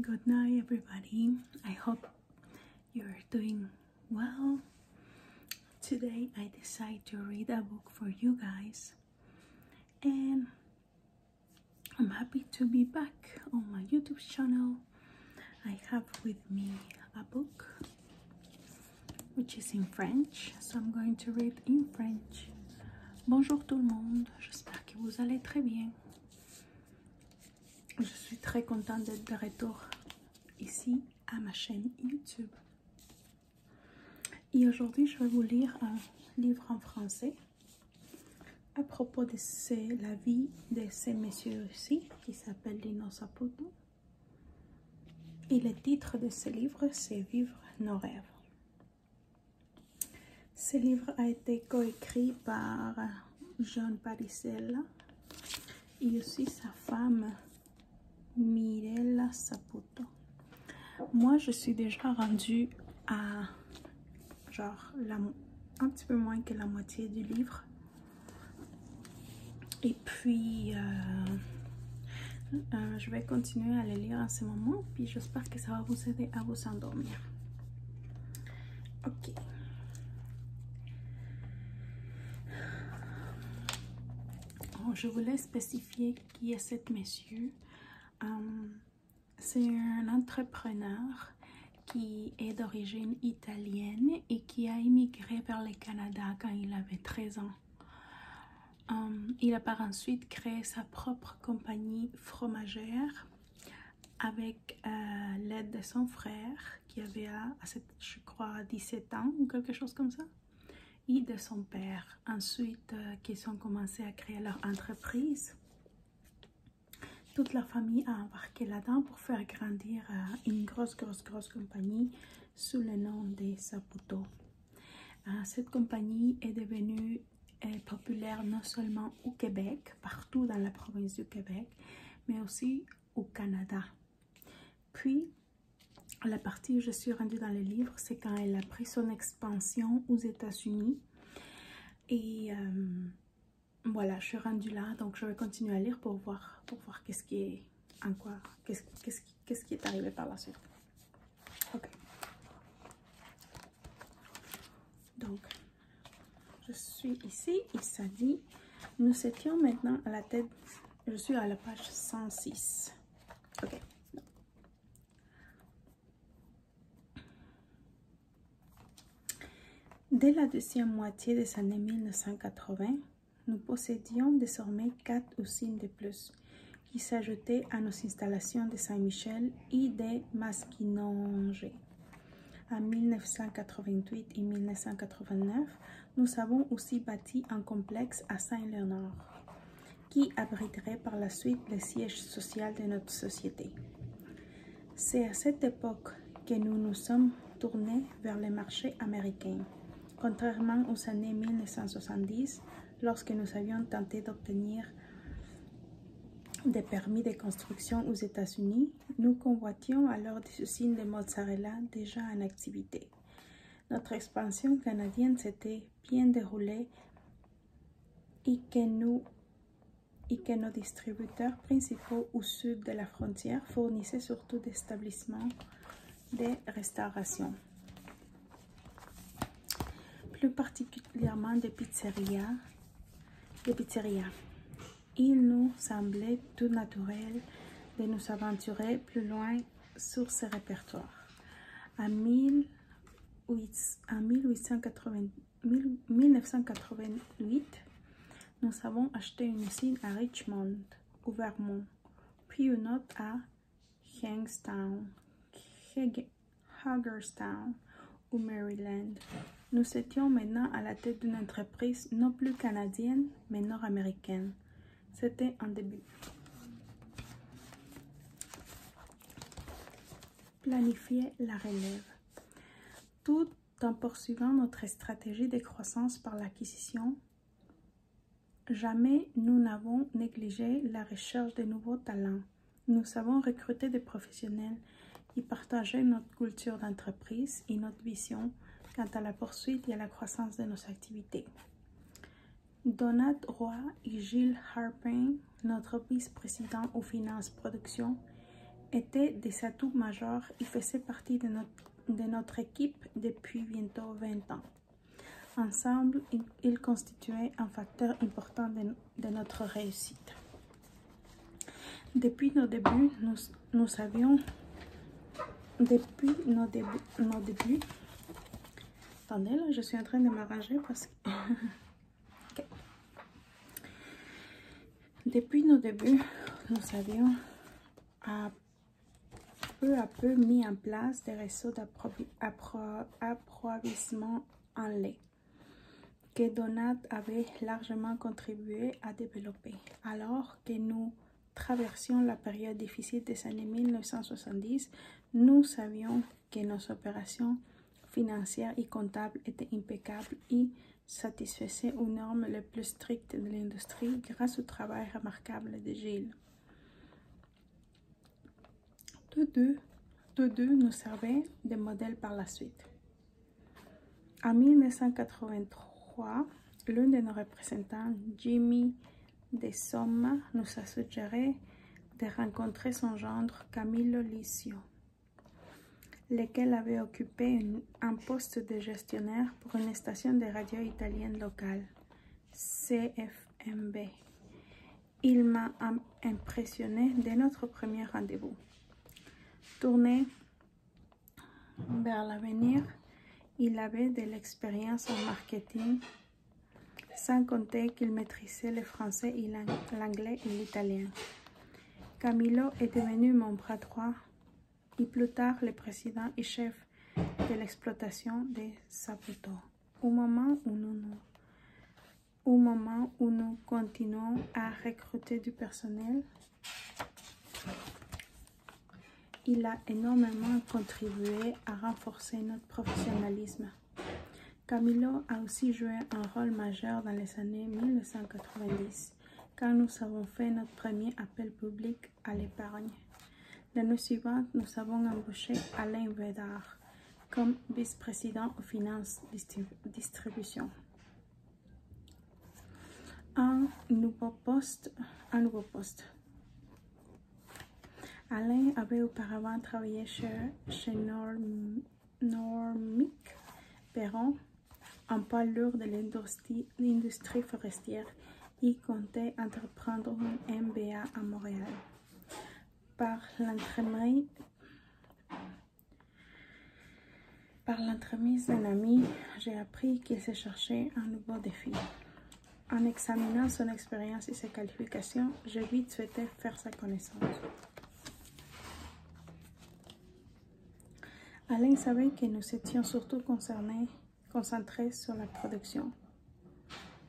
Good night, everybody. I hope you're doing well. Today, I decide to read a book for you guys, and I'm happy to be back on my YouTube channel. I have with me a book which is in French, so I'm going to read in French. Bonjour tout le monde, j'espère que vous allez très bien. Je suis très contente d'être de retour ici à ma chaîne YouTube. Et aujourd'hui, je vais vous lire un livre en français à propos de la vie de ces messieurs-ci qui s'appelle Lino Saputo. Et le titre de ce livre, c'est Vivre nos rêves. Ce livre a été coécrit par John Parisella et aussi sa femme Mirella Saputo. Moi, je suis déjà rendue à genre un petit peu moins que la moitié du livre. Et puis, euh, euh, je vais continuer à le lire en ce moment, puis j'espère que ça va vous aider à vous endormir. Ok. Oh, je voulais spécifier qui est cet monsieur. Euh, c'est un entrepreneur qui est d'origine italienne et qui a immigré vers le Canada quand il avait 13 ans. Euh, il a par ensuite créé sa propre compagnie fromagère avec euh, l'aide de son frère qui avait, à, je crois, 17 ans ou quelque chose comme ça, et de son père. Ensuite, euh, qui sont ont commencé à créer leur entreprise. Toute la famille a embarqué là-dedans pour faire grandir euh, une grosse, grosse, grosse compagnie sous le nom des Saputo. Cette compagnie est devenue est populaire non seulement au Québec, partout dans la province du Québec, mais aussi au Canada. Puis, la partie où je suis rendue dans le livre, c'est quand elle a pris son expansion aux États-Unis. Et euh, voilà, je suis rendue là, donc je vais continuer à lire pour voir, pour voir qu'est-ce qui est en quoi, qu'est-ce qu'est-ce qui est arrivé par la suite. Donc, je suis ici il s'agit. nous étions maintenant à la tête, je suis à la page 106. Ok. Dès la deuxième moitié des années 1980, nous possédions désormais quatre usines de plus qui s'ajoutaient à nos installations de Saint-Michel et des En 1988 et 1989, nous avons aussi bâti un complexe à Saint-Léonard qui abriterait par la suite le siège social de notre société. C'est à cette époque que nous nous sommes tournés vers le marché américain, contrairement aux années 1970 lorsque nous avions tenté d'obtenir des permis de construction aux États-Unis, nous convoitions alors des usines de mozzarella déjà en activité. Notre expansion canadienne s'était bien déroulée et que, et que nos distributeurs principaux au sud de la frontière fournissaient surtout des établissements de restauration. Plus particulièrement des pizzerias, il nous semblait tout naturel de nous aventurer plus loin sur ce répertoire. En, 1880, 1988, nous avons acheté une usine à Richmond, au Vermont, puis une autre à Hengstown. Hagerstown, ou Maryland. Nous étions maintenant à la tête d'une entreprise non plus canadienne, mais nord-américaine. C'était un début. Planifier la relève. Tout en poursuivant notre stratégie de croissance par l'acquisition, jamais nous n'avons négligé la recherche de nouveaux talents. Nous avons recruté des professionnels qui partageaient notre culture d'entreprise et notre vision quant à la poursuite et à la croissance de nos activités. Donat Roy et Gilles Harpin, notre vice-président aux finances production, étaient des atouts majeurs et faisaient partie de notre, équipe depuis bientôt 20 ans. Ensemble, ils constituaient un facteur important de de notre réussite. Depuis nos débuts, nous, nous avions, depuis nos, débuts, nos attendez là, je suis en train de m'arranger parce que, depuis nos débuts, nous avions à peu à peu mis en place des réseaux d'approvisionnement en lait que Donat avait largement contribué à développer, alors que nous traversions la période difficile des années 1970, nous savions que nos opérations financières et comptables étaient impeccables et satisfaisaient aux normes les plus strictes de l'industrie grâce au travail remarquable de Gilles. Tous deux, nous servaient de modèles par la suite. En 1983, l'un de nos représentants, Jimmy Desomma, nous a suggéré de rencontrer son gendre Camillo Licio, lequel avait occupé un poste de gestionnaire pour une station de radio italienne locale, CFMB. Il m'a impressionné dès notre premier rendez-vous. Tourné vers l'avenir, il avait de l'expérience en marketing, sans compter qu'il maîtrisait le français, l'anglais et l'italien. Camilo est devenu mon bras droit et plus tard le président et chef de l'exploitation de Saputo. Au moment où nous nous au moment où nous continuons à recruter du personnel. Il a énormément contribué à renforcer notre professionnalisme. Camilo a aussi joué un rôle majeur dans les années 1990, quand nous avons fait notre premier appel public à l'épargne. L'année suivante, nous avons embauché Alain Védard, comme vice-président aux finances distribution. Un nouveau poste, un nouveau poste. Alain avait auparavant travaillé chez, Normic Perron, en parlant lourd de l'industrie forestière. Il comptait entreprendre un MBA à Montréal par l'entremise par d'un ami, j'ai appris qu'il s'est cherché un nouveau défi. En examinant son expérience et ses qualifications, j'ai vite souhaité faire sa connaissance. Alain savait que nous étions surtout concernés, concentrés sur la production,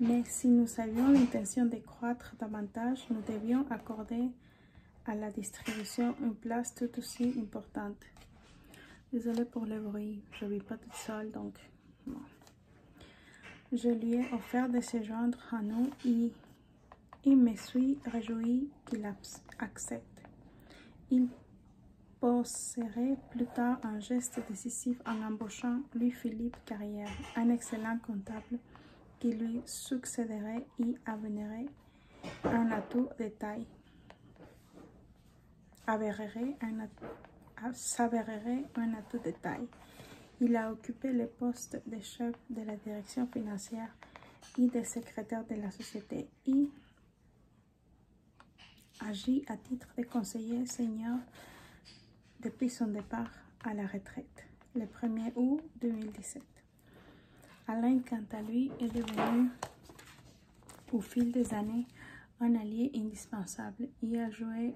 mais si nous avions l'intention de croître davantage, nous devions accorder à la distribution une place tout aussi importante. Désolée pour le bruit, je ne vis pas toute seule, donc Je lui ai offert de se joindre à nous et il me suis réjoui qu'il accepte. Il poserait plus tard un geste décisif en embauchant Louis-Philippe Carrière, un excellent comptable qui lui succéderait et avènerait un atout de taille. un un atout de taille. Il a occupé le poste de chef de la direction financière et de secrétaire de la société et agit à titre de conseiller senior depuis son départ à la retraite, le 1er août 2017. Alain, quant à lui, est devenu au fil des années un allié indispensable et a joué,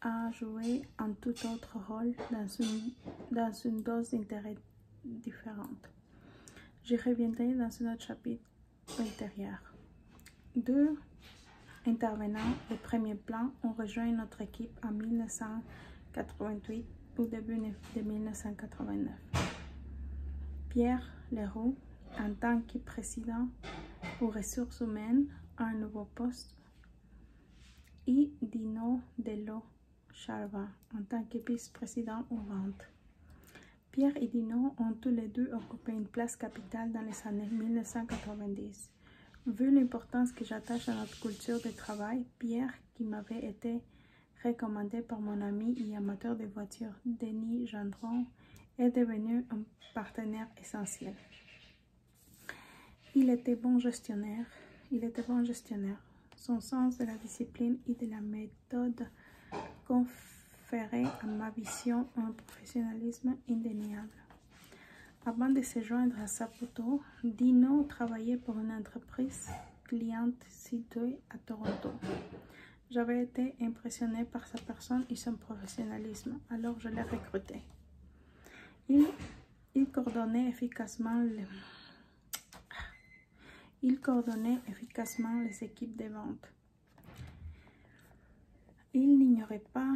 a joué un tout autre rôle dans une, dans une dose d'intérêt différente. J'y reviendrai dans un autre chapitre ultérieur. Deux intervenants de premier plan ont rejoint notre équipe en 1988 au début de 1989. Pierre Leroux, en tant que président aux ressources humaines, a un nouveau poste et Dino Dello Charva en tant que vice-président aux ventes. Pierre et Dino ont tous les deux occupé une place capitale dans les années 1990. Vu l'importance que j'attache à notre culture de travail, Pierre, qui m'avait été recommandé par mon ami et amateur de voitures, Denis Gendron, est devenu un partenaire essentiel. Il était bon gestionnaire. Il était bon gestionnaire. Son sens de la discipline et de la méthode conférait à ma vision un professionnalisme indéniable. Avant de se joindre à Saputo, Dino travaillait pour une entreprise cliente située à Toronto. J'avais été impressionnée par sa personne et son professionnalisme, alors je l'ai recruté. Il, il coordonnait efficacement les équipes de vente. Il n'ignorait pas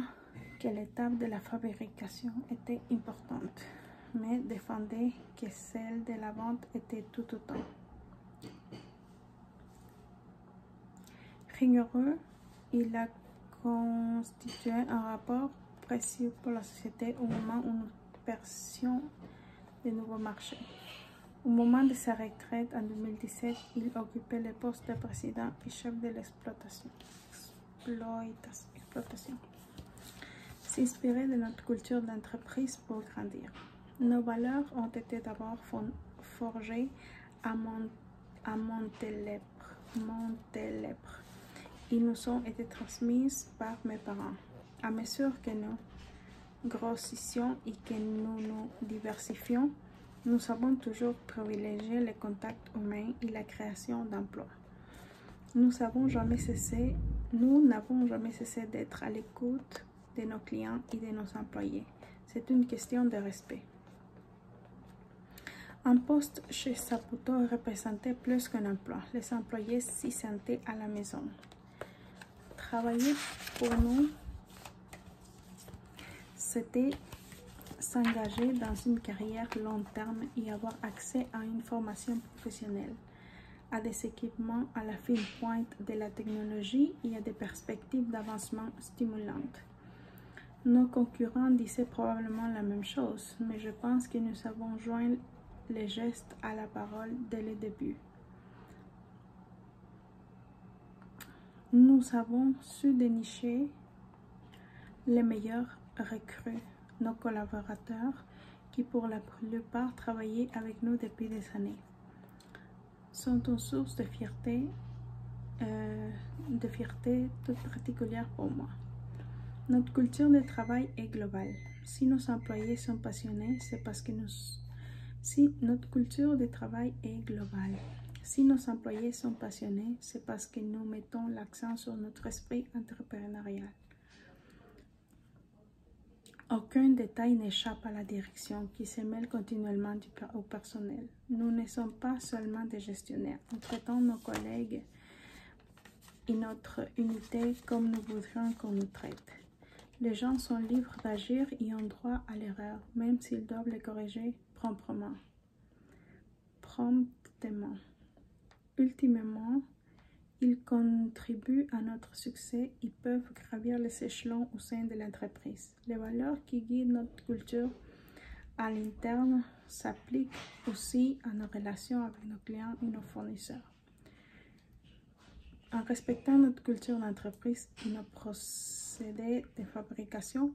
que l'étape de la fabrication était importante, mais défendait que celle de la vente était tout autant. Rigoureux, il a constitué un rapport précieux pour la société au moment où nous de nouveaux marchés. Au moment de sa retraite en 2017, il occupait le poste de président et chef de Exploitation, S'inspirer de notre culture d'entreprise pour grandir. Nos valeurs ont été d'abord forgées à, mon Ils nous ont été transmises par mes parents. À mesure que nous grossissions et que nous nous diversifions, nous savons toujours privilégié les contacts humains et la création d'emplois. Nous jamais cessé, nous n'avons jamais cessé d'être à l'écoute de nos clients et de nos employés. C'est une question de respect. Un poste chez Saputo représentait plus qu'un emploi. Les employés s'y sentaient à la maison. Travailler pour nous c'était s'engager dans une carrière long terme et avoir accès à une formation professionnelle, à des équipements à la fine pointe de la technologie et à des perspectives d'avancement stimulantes. Nos concurrents disaient probablement la même chose, mais je pense que nous avons joint les gestes à la parole dès le début. Nous avons su dénicher les meilleurs recrues, nos collaborateurs qui pour la plupart travaillaient avec nous depuis des années, sont une source de fierté, euh, de fierté toute particulière pour moi. Notre culture de travail est globale. Si nos employés sont passionnés, c'est parce que nous... Si notre culture de travail est globale, si nos employés sont passionnés, c'est parce que nous mettons l'accent sur notre esprit entrepreneurial. Aucun détail n'échappe à la direction qui se mêle continuellement au personnel. Nous ne sommes pas seulement des gestionnaires. Nous traitons nos collègues et notre unité comme nous voudrions qu'on nous traite. Les gens sont libres d'agir et ont droit à l'erreur, même s'ils doivent les corriger promptement. Promptement. Ultimement, ils contribuent à notre succès et peuvent gravir les échelons au sein de l'entreprise. Les valeurs qui guident notre culture à l'interne s'appliquent aussi à nos relations avec nos clients et nos fournisseurs. En respectant notre culture d'entreprise et nos procédés de fabrication,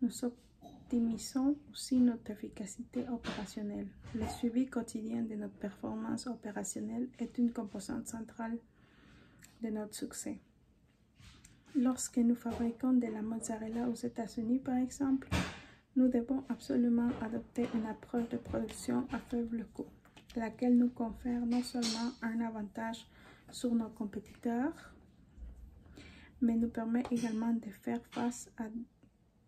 nous optimisons aussi notre efficacité opérationnelle. Le suivi quotidien de notre performance opérationnelle est une composante centrale de notre succès. Lorsque nous fabriquons de la mozzarella aux États-Unis, par exemple, nous devons absolument adopter une approche de production à faible coût, laquelle nous confère non seulement un avantage sur nos compétiteurs, mais nous permet également de faire face à,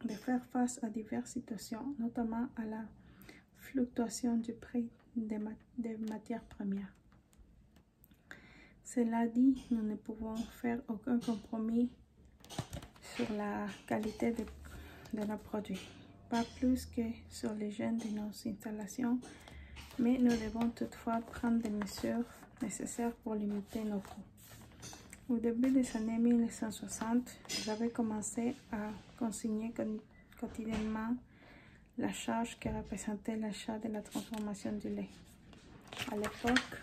de faire face à diverses situations, notamment à la fluctuation du prix des, matières premières. Cela dit, nous ne pouvons faire aucun compromis sur la qualité de, de nos produits, pas plus que sur les jeunes de nos installations mais nous devons toutefois prendre des mesures nécessaires pour limiter nos coûts. Au début des années 1960, j'avais commencé à consigner quotidiennement la charge que représentait l'achat de la transformation du lait. À l'époque,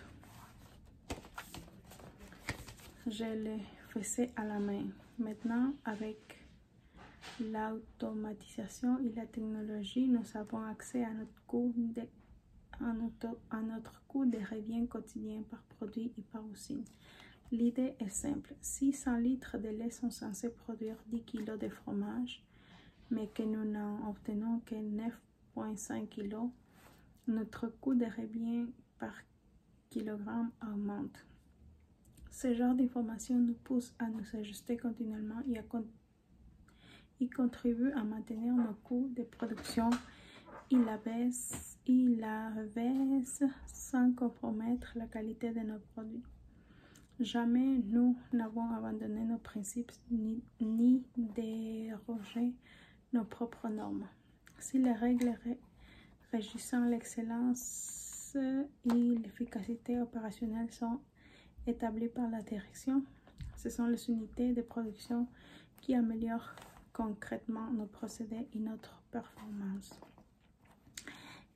je le faisais à la main. Maintenant, avec l'automatisation et la technologie nous avons accès à notre coût de, à à notre coût revient quotidien par produit et par usine. L'idée est simple. 600 litres de lait sont censés produire 10 kg de fromage, mais que nous n'en obtenons que 9,5 kg, notre coût de revient par kilogramme augmente. Ce genre d'information nous pousse à nous ajuster continuellement et à il contribue à maintenir nos coûts de production. Il la baisse, il sans compromettre la qualité de nos produits. Jamais nous n'avons abandonné nos principes ni, déroger dérogé nos propres normes. Si les règles régissant l'excellence et l'efficacité opérationnelle sont établies par la direction. Ce sont les unités de production qui améliorent concrètement nos procédés et notre performance.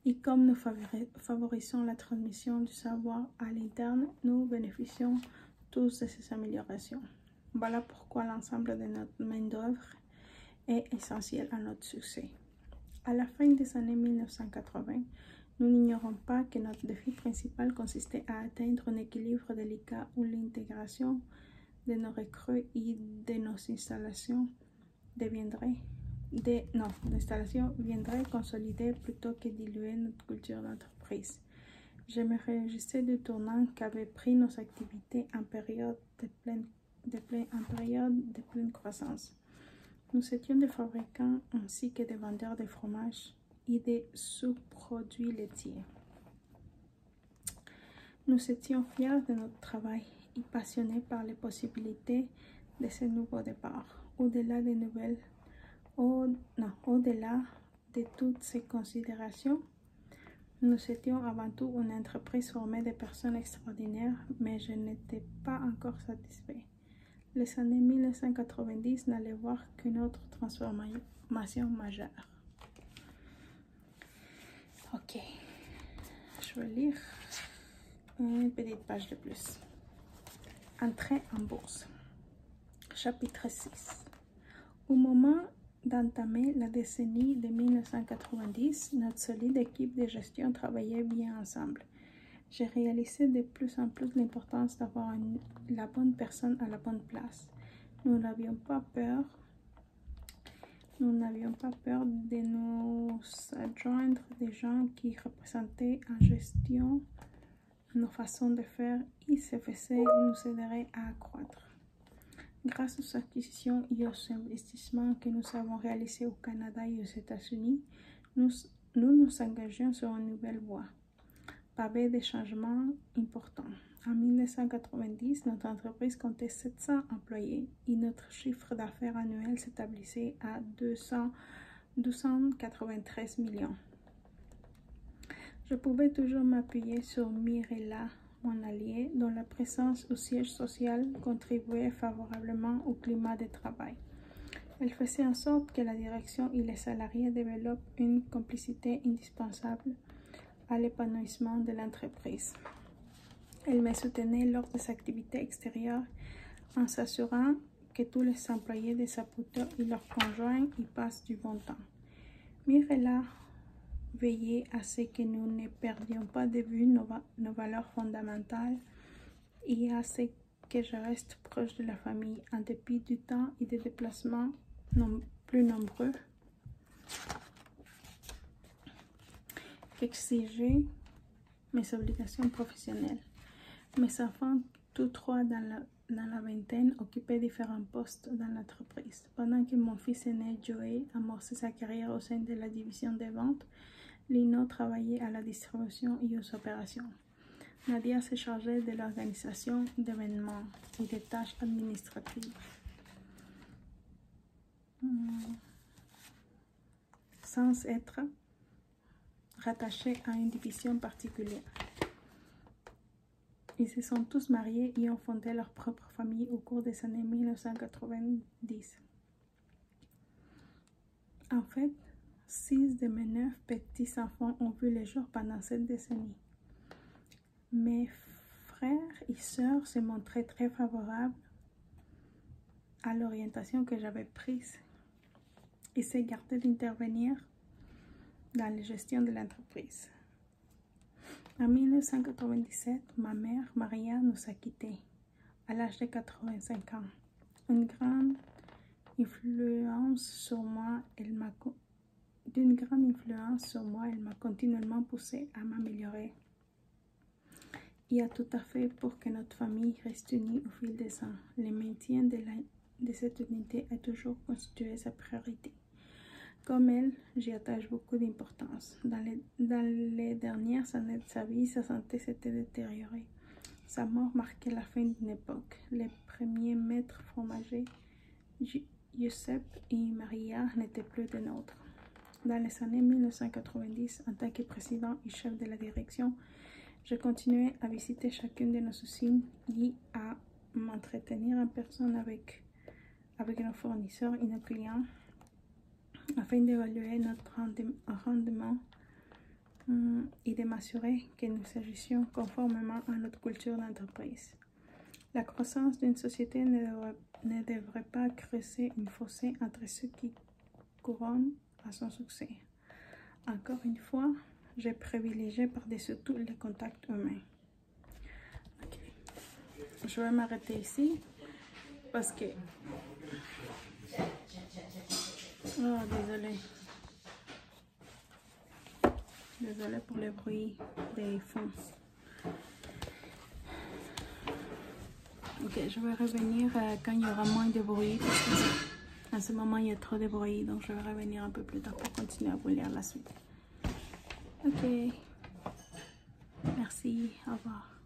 Et comme nous favorisons la transmission du savoir à l'interne, nous bénéficions tous de ces améliorations. Voilà pourquoi l'ensemble de notre main-d'œuvre est essentiel à notre succès. À la fin des années 1980, nous n'ignorons pas que notre défi principal consistait à atteindre un équilibre délicat où l'intégration de nos recrues et de nos installations deviendrait viendrait consolider plutôt que diluer notre culture d'entreprise. Je me réjouissais du tournant qu'avaient pris nos activités de en période de pleine croissance. Nous étions des fabricants ainsi que des vendeurs de fromages et de sous-produits laitiers. Nous étions fiers de notre travail et passionnés par les possibilités de ce nouveau départ, au-delà de toutes ces considérations. Nous étions avant tout une entreprise formée de personnes extraordinaires, mais je n'étais pas encore satisfait les années 1990 n'allaient voir qu'une autre transformation majeure. Ok, je vais lire une petite page de plus. Entrée en bourse. Chapitre 6. Au moment d'entamer la décennie de 1990, notre solide équipe de gestion travaillait bien ensemble j'ai réalisé de plus en plus l'importance d'avoir la bonne personne à la bonne place. Nous n'avions pas peur. Nous n'avions pas peur de nous adjoindre des gens qui représentaient en gestion nos façons de faire et se faisaient nous aiderait à accroître. Grâce aux acquisitions et aux investissements que nous avons réalisés au Canada et aux États-Unis, nous nous, engageons sur une nouvelle voie, pavée des changements importants. En 1990, notre entreprise comptait 700 employés et notre chiffre d'affaires annuel s'établissait à 293 millions. Je pouvais toujours m'appuyer sur Mirella, mon allié, dont la présence au siège social contribuait favorablement au climat de travail. Elle faisait en sorte que la direction et les salariés développent une complicité indispensable à l'épanouissement de l'entreprise. Elle me soutenait lors des activités extérieures en s'assurant que tous les employés de sa poutre et leurs conjoints y passent du bon temps. Mirela veillait à ce que nous ne perdions pas de vue nos, nos valeurs fondamentales et à ce que je reste proche de la famille en dépit du temps et des déplacements non plus nombreux. Exiger mes obligations professionnelles. Mes enfants, tous trois dans la, dans la vingtaine, occupaient différents postes dans l'entreprise. Pendant que mon fils aîné Joey amorçait sa carrière au sein de la division des ventes, Lino travaillait à la distribution et aux opérations. Nadia se chargeait de l'organisation d'événements et des tâches administratives. Hmm. Sans être rattachée à une division particulière. Ils se sont tous mariés et ont fondé leur propre famille au cours des années 1990. En fait, six de mes neuf petits enfants ont vu le jour pendant cette décennie. Mes frères et sœurs se montraient très favorables à l'orientation que j'avais prise et s'égartaient d'intervenir dans la gestion de l'entreprise. En 1997, ma mère, Maria, nous a quittés à l'âge de 85 ans. Une grande influence sur moi, elle m'a d'une grande influence sur moi, elle m'a continuellement poussé à m'améliorer et a tout à fait pour que notre famille reste unie au fil des ans. Le maintien de, cette unité a toujours constitué sa priorité. Comme elle, j'y attache beaucoup d'importance. dans les dernières années de sa vie, sa santé s'était détériorée. Sa mort marquait la fin d'une époque. Les premiers maîtres fromagers, Giuseppe et Maria, n'étaient plus des nôtres. Dans les années 1990, en tant que président et chef de la direction, je continuais à visiter chacune de nos usines et à m'entretenir en personne avec, avec nos fournisseurs et nos clients afin d'évaluer notre rendement euh, et de m'assurer que nous agissions conformément à notre culture d'entreprise. La croissance d'une société ne devrait, pas creuser une fossé entre ceux qui couronnent à son succès. Encore une fois, j'ai privilégié par-dessus tout le contact humain. Je vais m'arrêter ici. Parce que... Oh, désolé. Désolé pour le bruit des fonds. Ok, je vais revenir euh, quand il y aura moins de bruit. en à ce moment, il y a trop de bruit. Donc, je vais revenir un peu plus tard pour continuer à brûler la suite. Ok. Merci. Au revoir.